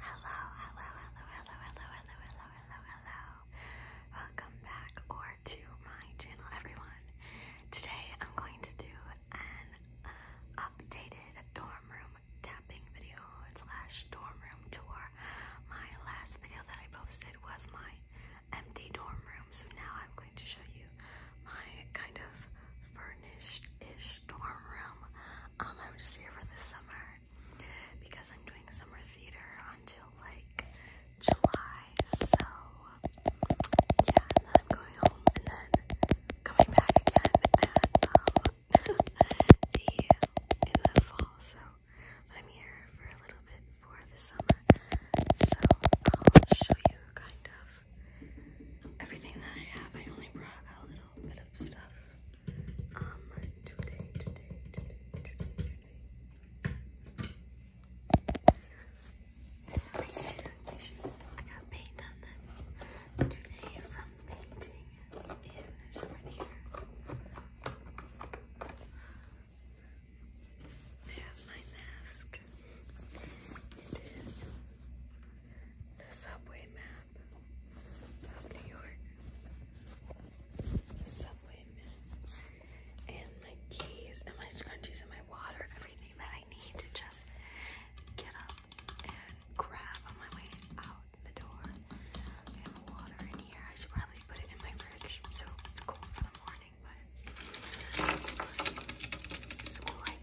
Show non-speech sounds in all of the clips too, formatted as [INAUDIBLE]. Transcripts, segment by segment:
Hello, hello, hello, hello, hello, hello, hello, hello, hello. Welcome back or to my channel, everyone. Today I'm going to do an uh, updated dorm room tapping video slash dorm room tour. My last video that I posted was my empty dorm room, so now I'm going to show you my kind of furnished ish dorm room. Um, I'm just here for the summer because I'm doing summer theater until like July. So yeah, I'm going home and then coming back again and um, [LAUGHS] the in the fall. So I'm here for a little bit for the summer. So I'll show you kind of everything that I have. I only brought a little bit of stuff um today, today, today, today, today. I got paint on them today from painting in this here. I have my mask. It is the subway mask. New York. Subway And my keys and my scrunchies and my water, everything that I need to just get up and grab on my way out the door. I have water in here. I should probably put it in my fridge so it's cool for the morning, but so I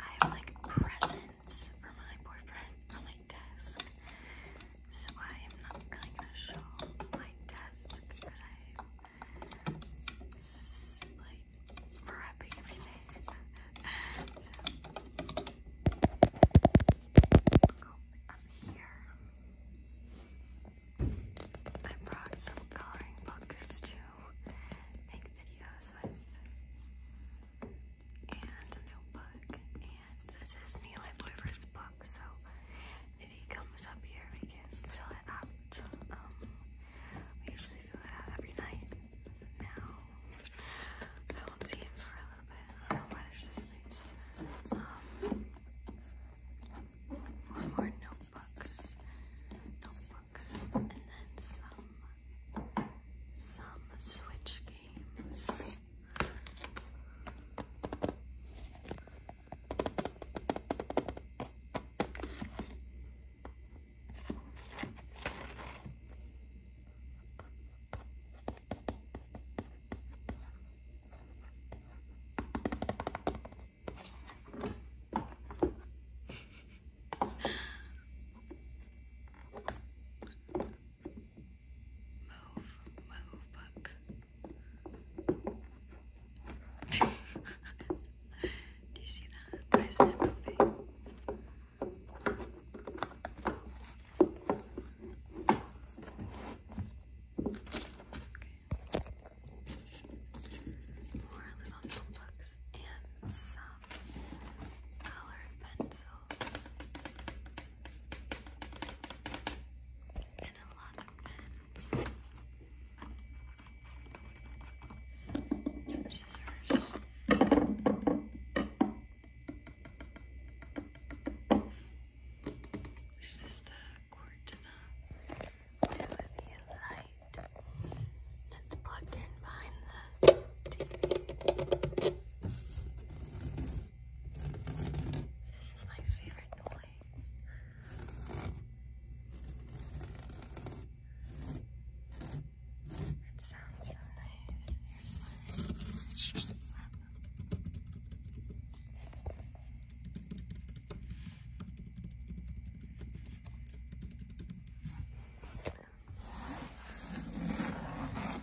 I have like presents presents for my boyfriend on my desk. So I am not really gonna show my desk because I like prepping everything. so go up here. I brought some coloring books to make videos with and notebook. And this is me and my boyfriend's book, so if he comes up here, we can fill it out. Um, we usually fill it out every night. Now, I won't see him for a little bit. I don't Um, more notebooks, notebooks, and then some some Switch games. Move, move, book. Do you see that? Why is that moving? More little notebooks and some colored pencils and a lot of pens and scissors. This is the Cortina Melody Light light that's plugged in behind the TV. This is my favorite noise. It sounds so nice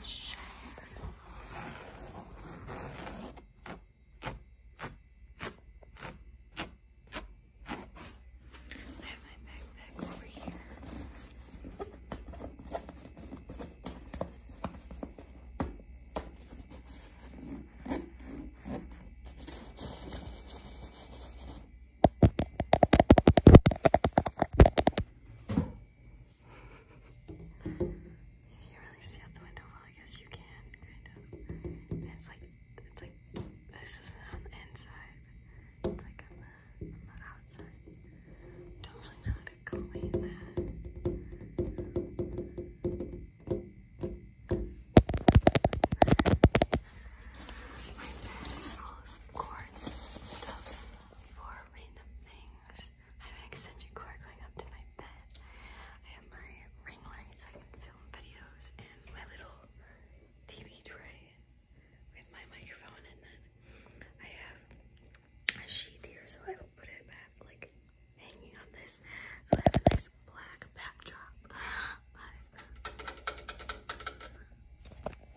shape. I have my backpack over here. I you can't really see out the window. Well, I guess you can, kind of. And it's like, it's like, this isn't on the inside. It's like on the, on the outside. Don't really know how to clean that my bed full stuff for random things. I have extension cord going up to my bed. I have my ring light so I can film videos and my little TV tray with my microphone and then I have a sheet here so I put it back like hanging on this. So I have a nice black backdrop.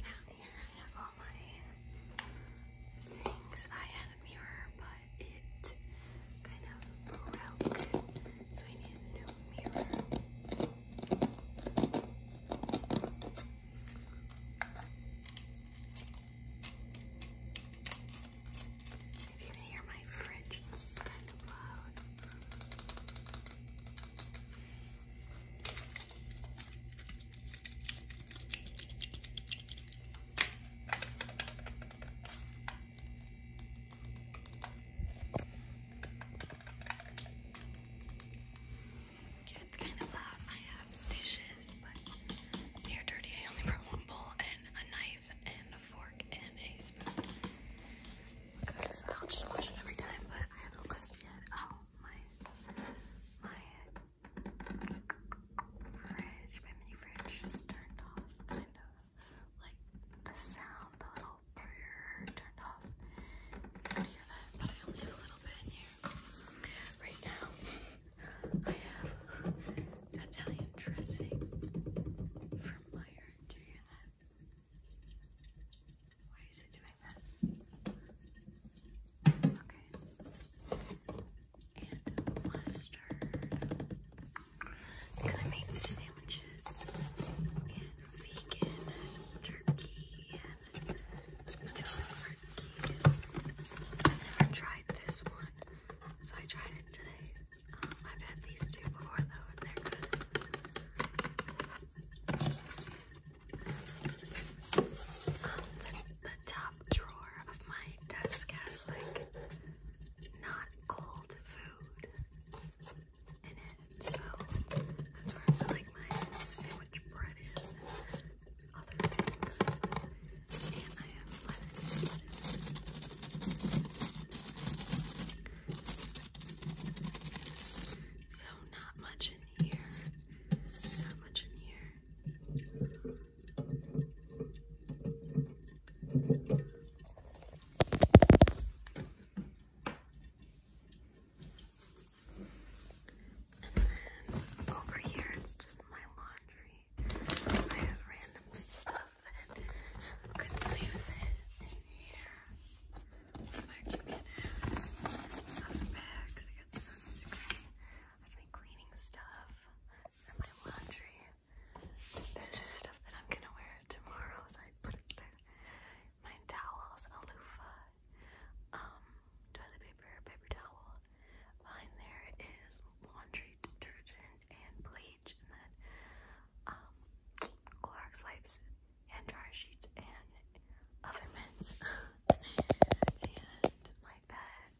Now here I have all my things. I had a mirror, but it kind of broke, so I need a new mirror. If you can hear my fridge, it's kind of loud. Yeah, it's kind of loud. I have dishes, but they're dirty. I only put one bowl and a knife and fork and a spoon I'll just wash it every time, but I haven't requested yet. Oh, my, my mini fridge just turned off, kind of. Like the sound, the little brrrr turned off. could hear that, but I only have a little bit in here. Right now, Italian dressing from Meyer. Do why is it doing that? Okay. And mustard. Gonna make sandwiches and vegan turkey and turkey. I've never tried this one, so I tried it today. I've had these two before though, and they're good. Um, the, the top drawer of my desk has like not cold food in it, so that's where I feel like my sandwich bread is and other things. And I have so not much in here. Not much in here. And then over here, just my laundry. I have random stuff nothing. I'm cleaning stuff for my laundry. This is stuff that I'm gonna wear tomorrow, so I put it there. My towels, a loofah, um, toilet paper, paper towel. Behind there is laundry detergent and bleach and then um, Clorox wipes and dryer sheets and oven mints [LAUGHS] and my bed.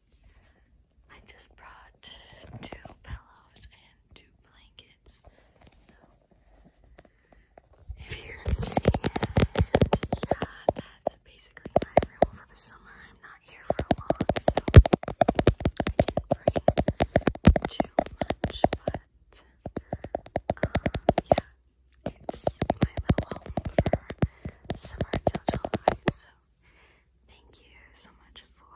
I just brought two pillows and two blankets. So if you can see it, yeah, that's basically my room for the summer. I'm not here for long, so I didn't bring too much, but um, yeah, it's my little home for summer till July. So thank you so much for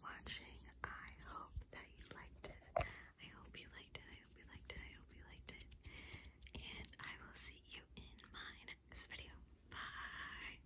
watching. I hope that you liked it. I hope you liked it. I hope you liked it. I hope you liked it. And I will see you in my next video. Bye.